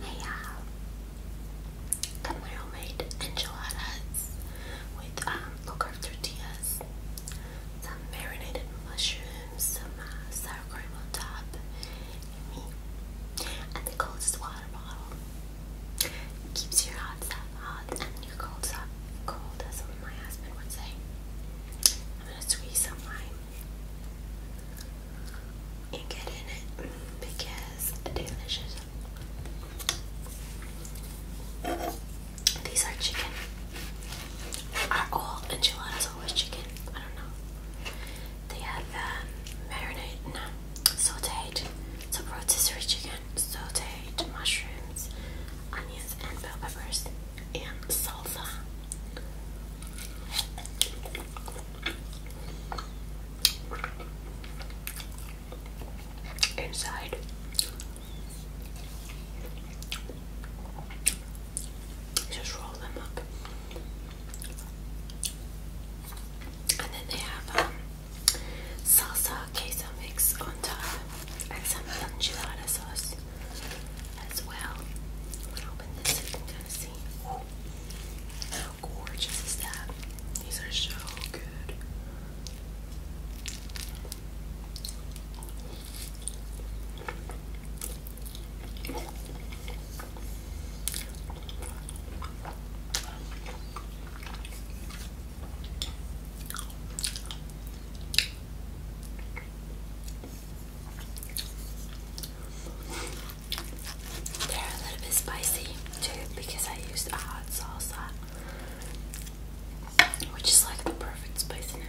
Hey y'all, I little made enchiladas with um, low curved tortillas, some marinated mushrooms, some uh, sour cream on top, and and the coldest water bottle keeps your hot stuff hot and your cold stuff cold, as my husband would say. I'm gonna squeeze some lime and get in it because it's delicious. These are chicken. Are all enchiladas always chicken? I don't know. They have um, marinade, no, sauteed, so rotisserie chicken sauteed mushrooms, onions, and bell peppers, and salsa. Inside, just roll them up, and then they have um, salsa queso mix on top, and some enchilada sauce as well. this so you how gorgeous is that? These are so good. They're a little bit spicy too because I used a hot salsa, which is like the perfect spice in it.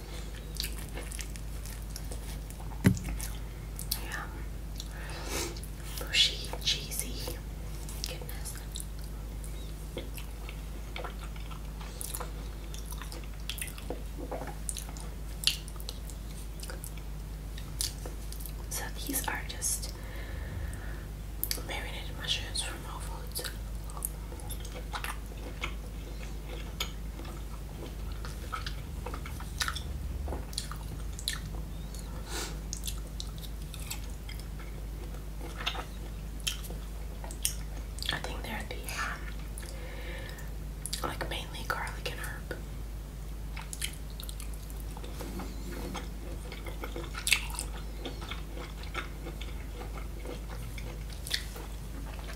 Yeah. Bushy, cheesy. So these are just marinated mushrooms from Whole Foods. I think they're the um, like mainly garlic and herb.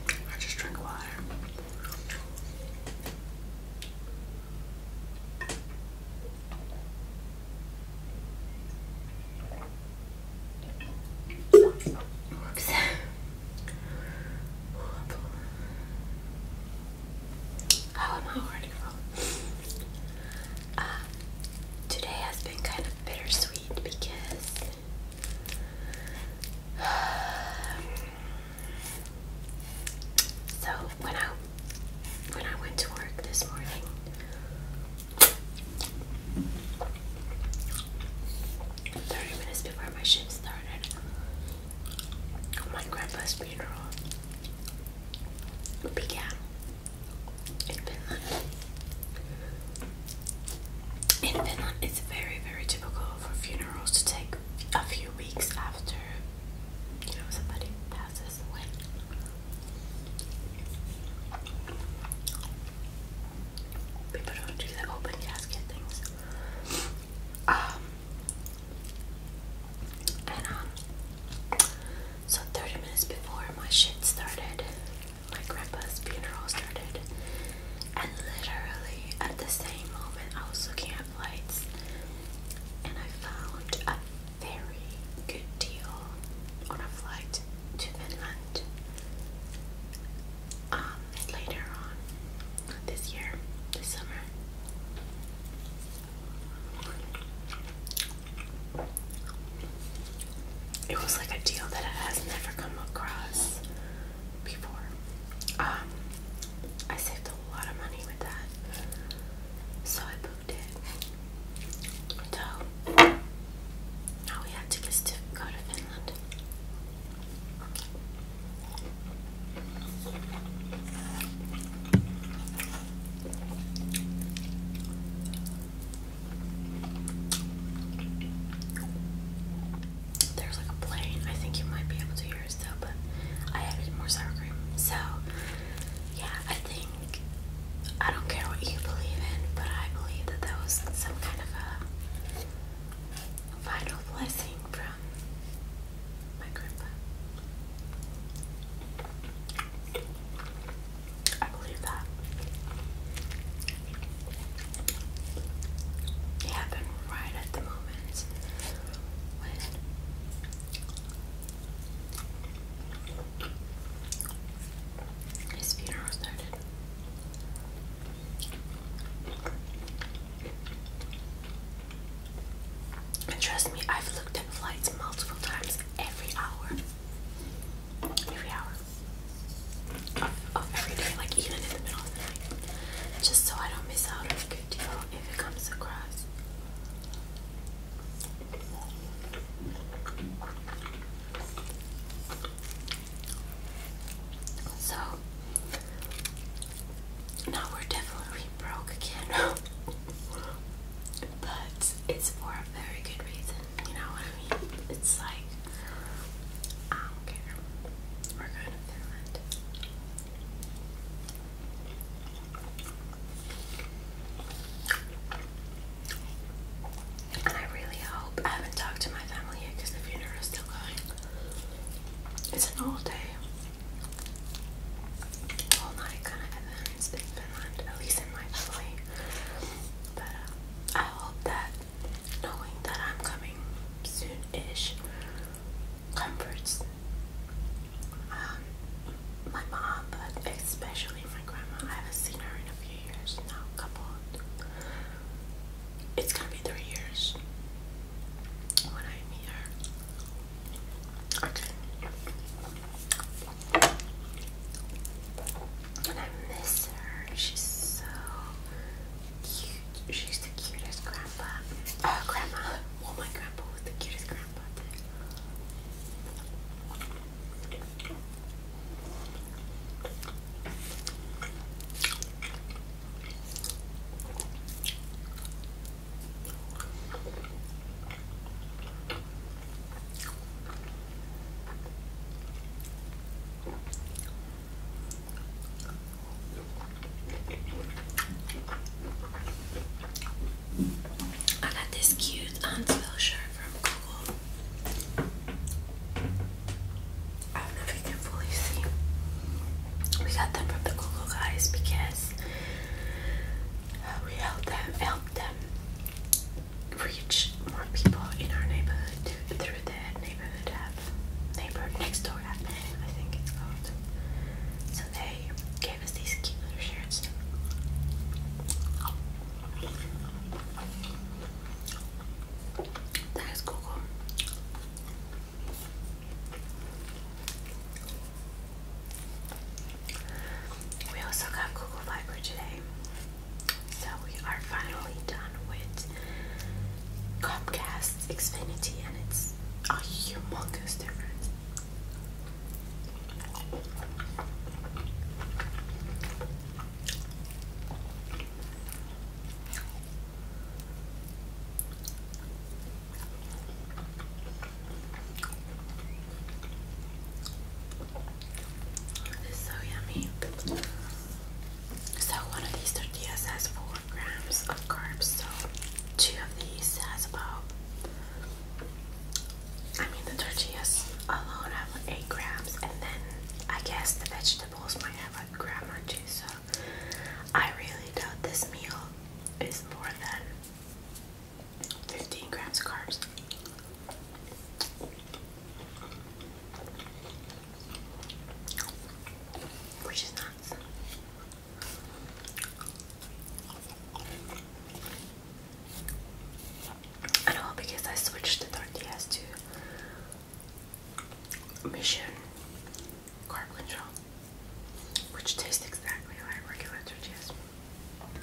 I just drink water. How am I already wrong? Uh, today has been kind of bittersweet because So when I when I went to work this morning, thirty minutes before my shift started, my grandpa's began in Finland, it's very, very typical for funerals to take a few weeks after you know somebody passes away. People don't do the open casket things. Um, and um, so 30 minutes before my shit started, my grandpa's funeral started. And literally at the same moment, I was looking at flights and I found a very good deal on a flight to Finland um, later on this year, this summer. It was like a deal that I has never come across before. Um, I saved a lot of money with that, so I booked it. So now we have to to go to Finland. There's like a plane. I think you might be able to hear us though, but I added more sour cream. So, yeah, I think I don't care what you believe in, but I believe that that was some kind of a final blessing from my grandpa. I believe that happened right at the moment when his funeral started. trust me, I've looked at flights multiple times every hour. Every hour of, every day, like even in the middle of the night, just so I don't miss out on a good deal if it comes across. So now we're definitely broke again, but it's for a very good reason. You know what I mean? It's like, I don't care. We're going to Finland. And I really hope, I haven't talked to my family yet because the funeral is still going. It's an all day, all night kind of event at least in my family. But uh, I hope that knowing that I'm coming soon-ish comforts um, my mom, but especially my grandma. I haven't seen her in a few years now, couple. It's gonna be three years when I meet her. Okay. And I miss her. She's so cute. She's the cutest grandpa. Oh, grandma. Well, my grandpa was the cutest grandpa, I got this cute Huntsville shirt from Google. I don't know if you can fully see. We got them from the Google guys because uh, we helped them helped them reach more people in our neighborhood through the neighborhood app, neighborhood next door app, I think it's called. So they gave us these cute shirts. That is Google. We also got Google Fiber today. So we are finally done with Comcast Xfinity, and it's a humongous difference. It's so yummy. So one of these tortillas has four grams of carbs. So two of these has about. I mean the tortillas alone have eight grams, and then I guess the vegetables might have a gram or two. So I really doubt this meal is more than 15 grams of carbs which is not I know because I switched the tortillas to Mission Carb Control, which tastes exactly like regular tortillas.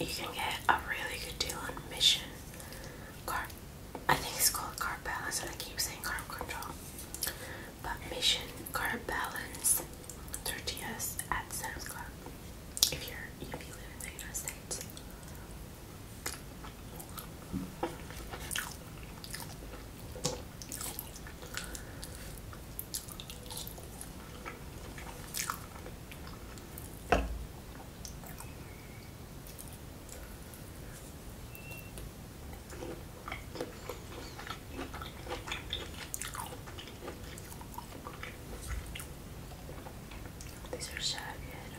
You can get a really good deal on Mission Card I think it's called carb balance, and I keep saying carb control. But Mission Carb Balance tortillas at Sam's Club. If you're if you live in the United States. These are so good.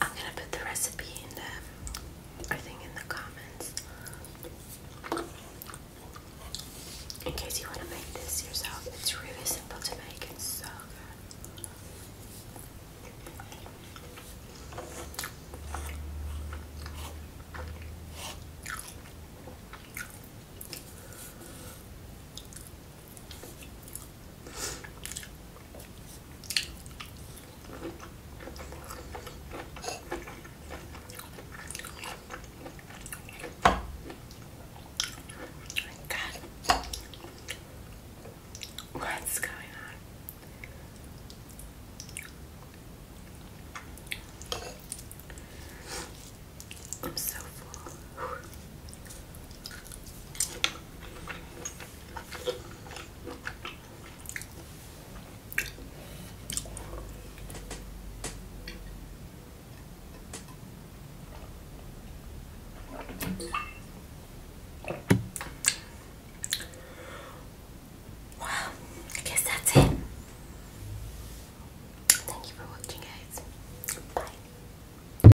I'm gonna put the recipe in the, in the comments, in case you want to make this yourself. It's really simple to make. It's so good. Oh God. What's going on? I'm so full. Well, I guess that's it. Thank you for watching, guys. Bye.